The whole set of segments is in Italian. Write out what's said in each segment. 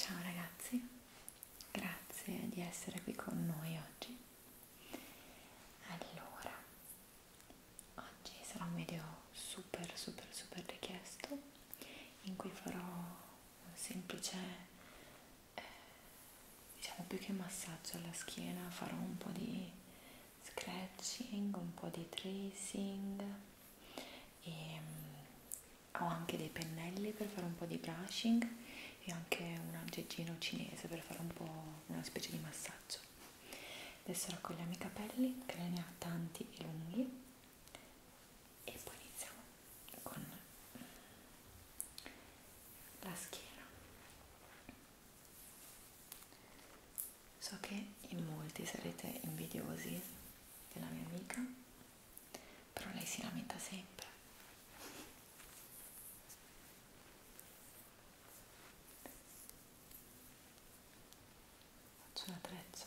Ciao ragazzi, grazie di essere qui con noi oggi. Allora, oggi sarà un video super super super richiesto in cui farò un semplice eh, diciamo più che massaggio alla schiena farò un po' di scratching, un po' di tracing e ehm, mh, ho anche dei pennelli per fare un po' di brushing e anche un aggeggino cinese per fare un po' una specie di massaggio adesso raccogliamo i capelli che ne ha tanti e lunghi e poi iniziamo con la schiena so che in molti sarete invidiosi della mia amica però lei si lamenta sempre faccio una treccia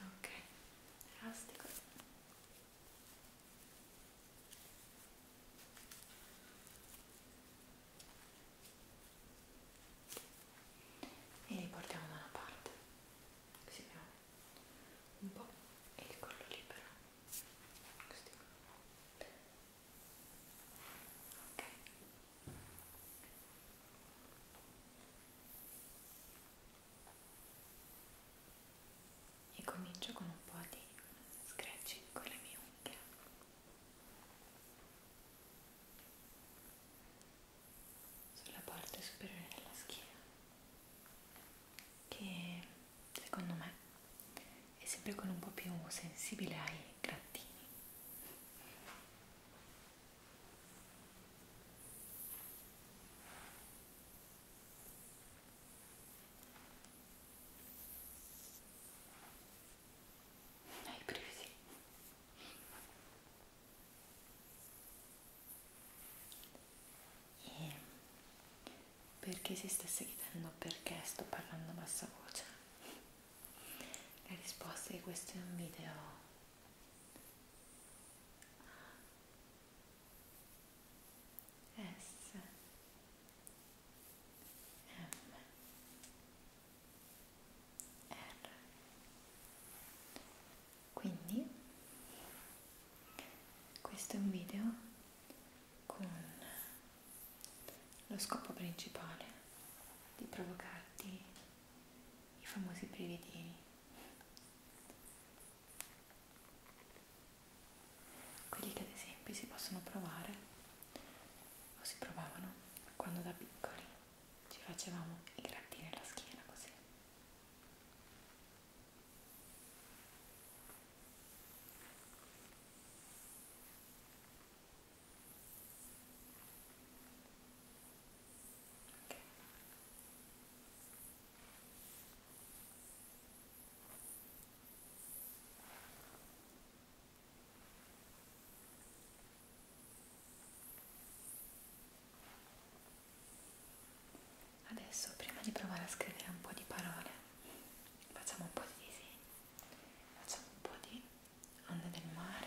ok elastico e li portiamo da una parte così abbiamo un po' e il collo libero così ok e comincio con un po' di scratching con le mie unghie sulla parte superiore della schiena che secondo me è sempre con un po' più sensibile ai grattini hai brividi. E perché si stesse chiedendo perché sto parlando a bassa voce? La risposta è che questo è un video S M R quindi questo è un video con lo scopo principale di provocarti i famosi brividini quelli che ad esempio si possono provare o si provavano quando da piccoli ci facevamo i grattini alla schiena così. Adesso prima di provare a scrivere un po' di parole facciamo un po' di disegni, facciamo un po' di onde del mare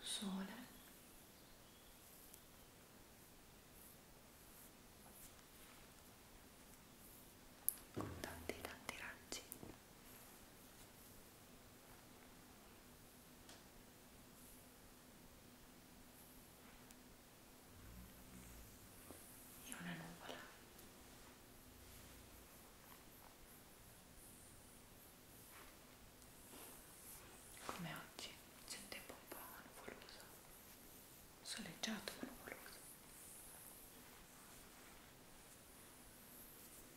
sole con tanti tanti raggi e una nuvola come oggi c'è un tempo un po' nuvoloso soleggiato ma nuvoloso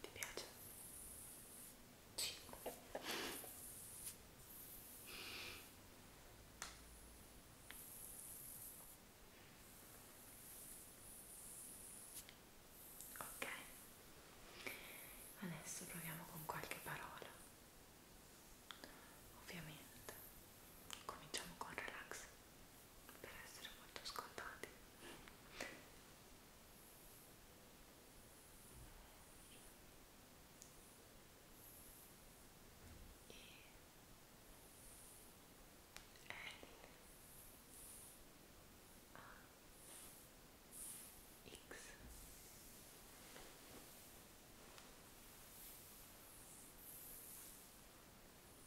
Ti piace? Sì. Ok, adesso proviamo con qualche parola. Ovviamente cominciamo con relax per essere molto scontati e L A X e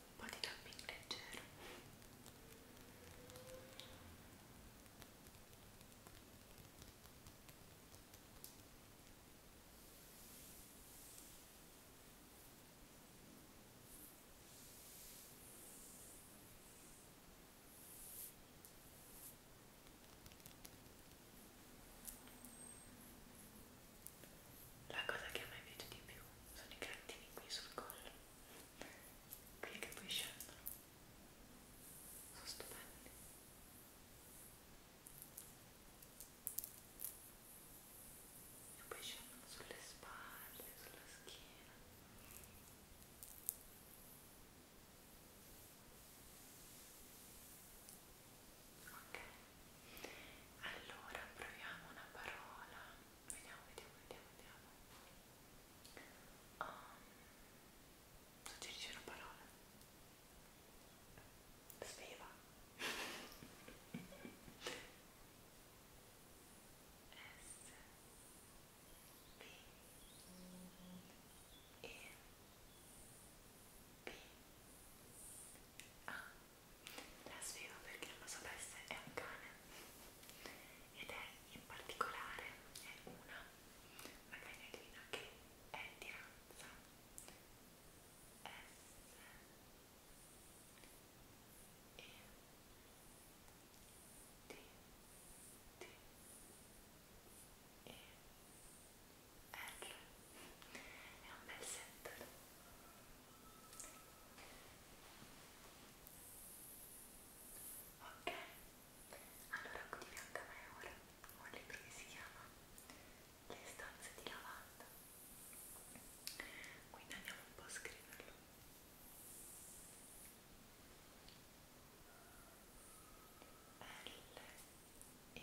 un po' di tapping leggero la cosa che a me piace di più sono i grattini qui sul collo, qui che poi scendono, sono stupendi. E poi scendono sulle spalle, sulla schiena. Ok, allora proviamo una parola. Vediamo, vediamo, vediamo, vediamo. Um, Suggerisci una parola. Sveva. S B E Ah, la spiego perché non lo sapesse, è un cane ed è in particolare è una, una cagnolina che è di razza S E T T E l è un bel set ok allora qui di fianco a me ora ho un libro che si chiama Le stanze di lavanda quindi andiamo un po' a scriverlo L E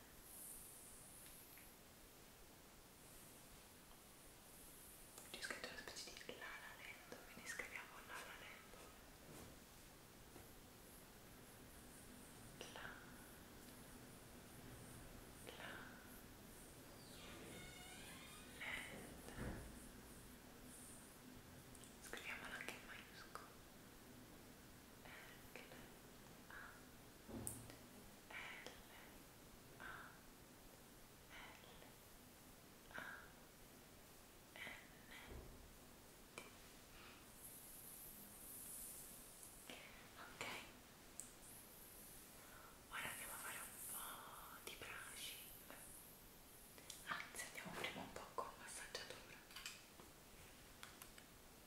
C'è scritto una specie di Lala Land, quindi scriviamo Lala Land. La, la, land. Scriviamola anche in maiuscolo. La Ok, ora andiamo a fare un po' di brushing. Anzi, andiamo prima un po' con massaggiatura.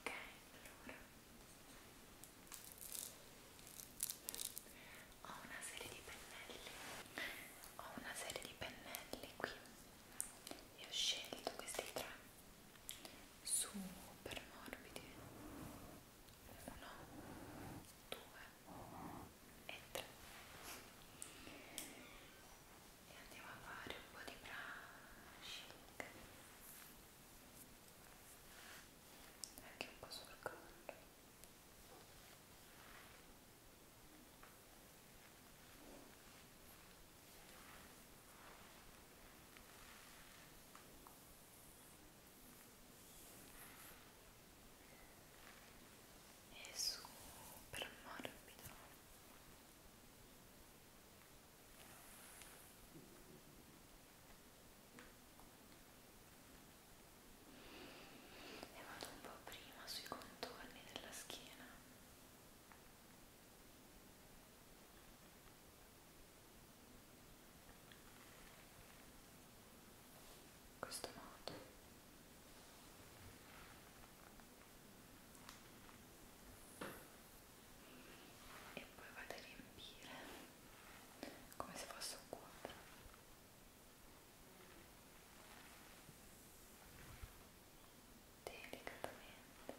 Ok, allora ho una serie di pennelli, ho una serie di pennelli qui e ho scelto questi tre super morbidi uno, due e 3 e andiamo a fare un po' di brushing anche un po' sul collo e è super morbido e vado un po' prima sui contorni della schiena e in questo modo e poi vado a riempire come se fosse un quadro delicatamente e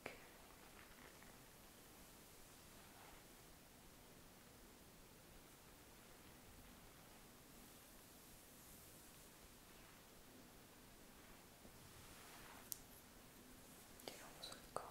Okay. Tiriamo sul collo.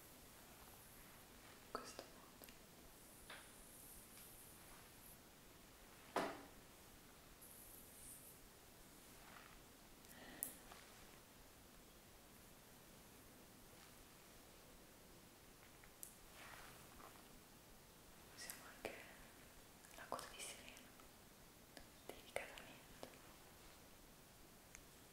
in questo modo usiamo anche la coda di sirena delicatamente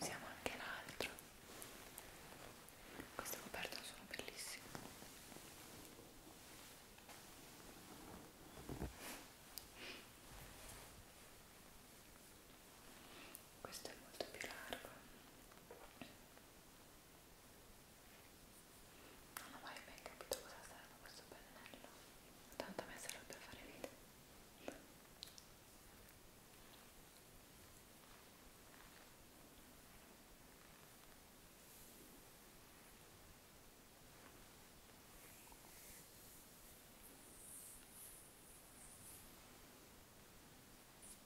Usiamo anche l'altro. Queste coperte sono bellissime. Questo è molto più largo. Non ho mai ben capito cosa serve questo pennello, tanto a me serve per fare video. Ecco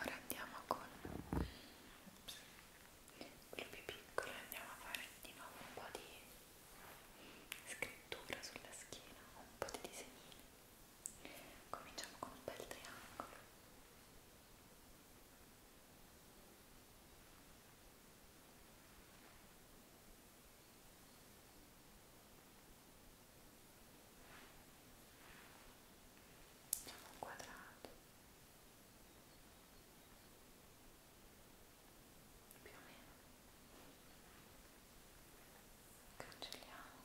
Ora andiamo con Ops. quello più piccolo andiamo a fare di nuovo un po' di scrittura sulla schiena, un po' di disegnini. Cominciamo con un bel triangolo. Facciamo un quadrato più o meno cancelliamo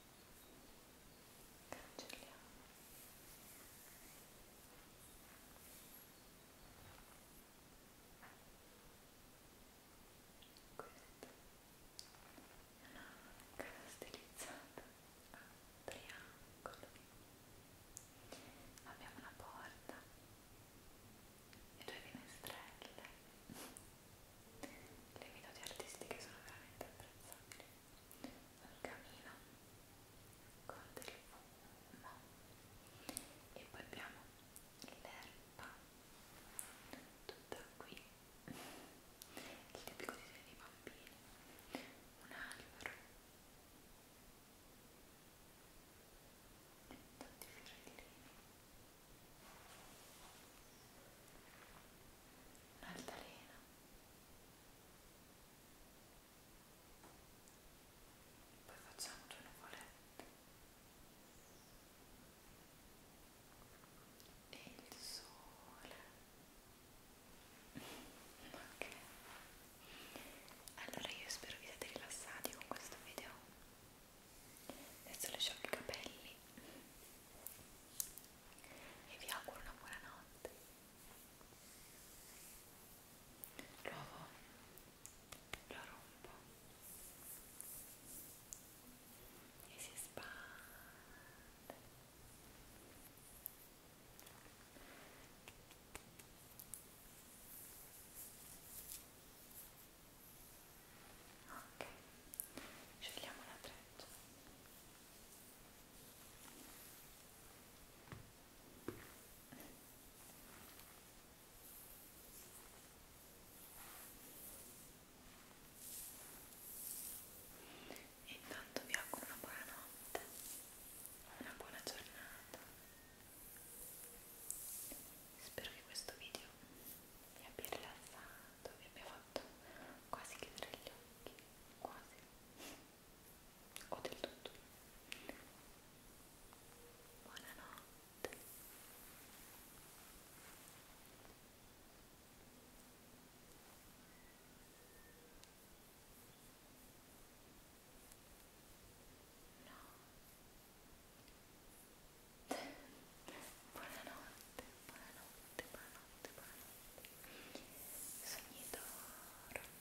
cancelliamo questa è una casa stilizzata a triangolo abbiamo una porta e due finestrelle le minuti artistiche sono veramente apprezzabili un camino con del fumo e poi abbiamo l'erba tutta qui il tipico disegno dei bambini un albero tanti fiorellini un'altalena poi facciamo due nuvolette e il sole ok allora io spero vi siate rilassati con questo video adesso lasciamo i capelli e vi auguro una buona notte Provo, lo rompo e si espande. Ok, scegliamo la treccia. E intanto vi auguro una buona notte, una buona giornata. Spero che questo video vi abbia rilassato, vi abbia fatto quasi chiudere gli occhi, quasi o del tutto. Buonanotte. No. Buonanotte, buonanotte, buonanotte, buonanotte. Sogni d'oro.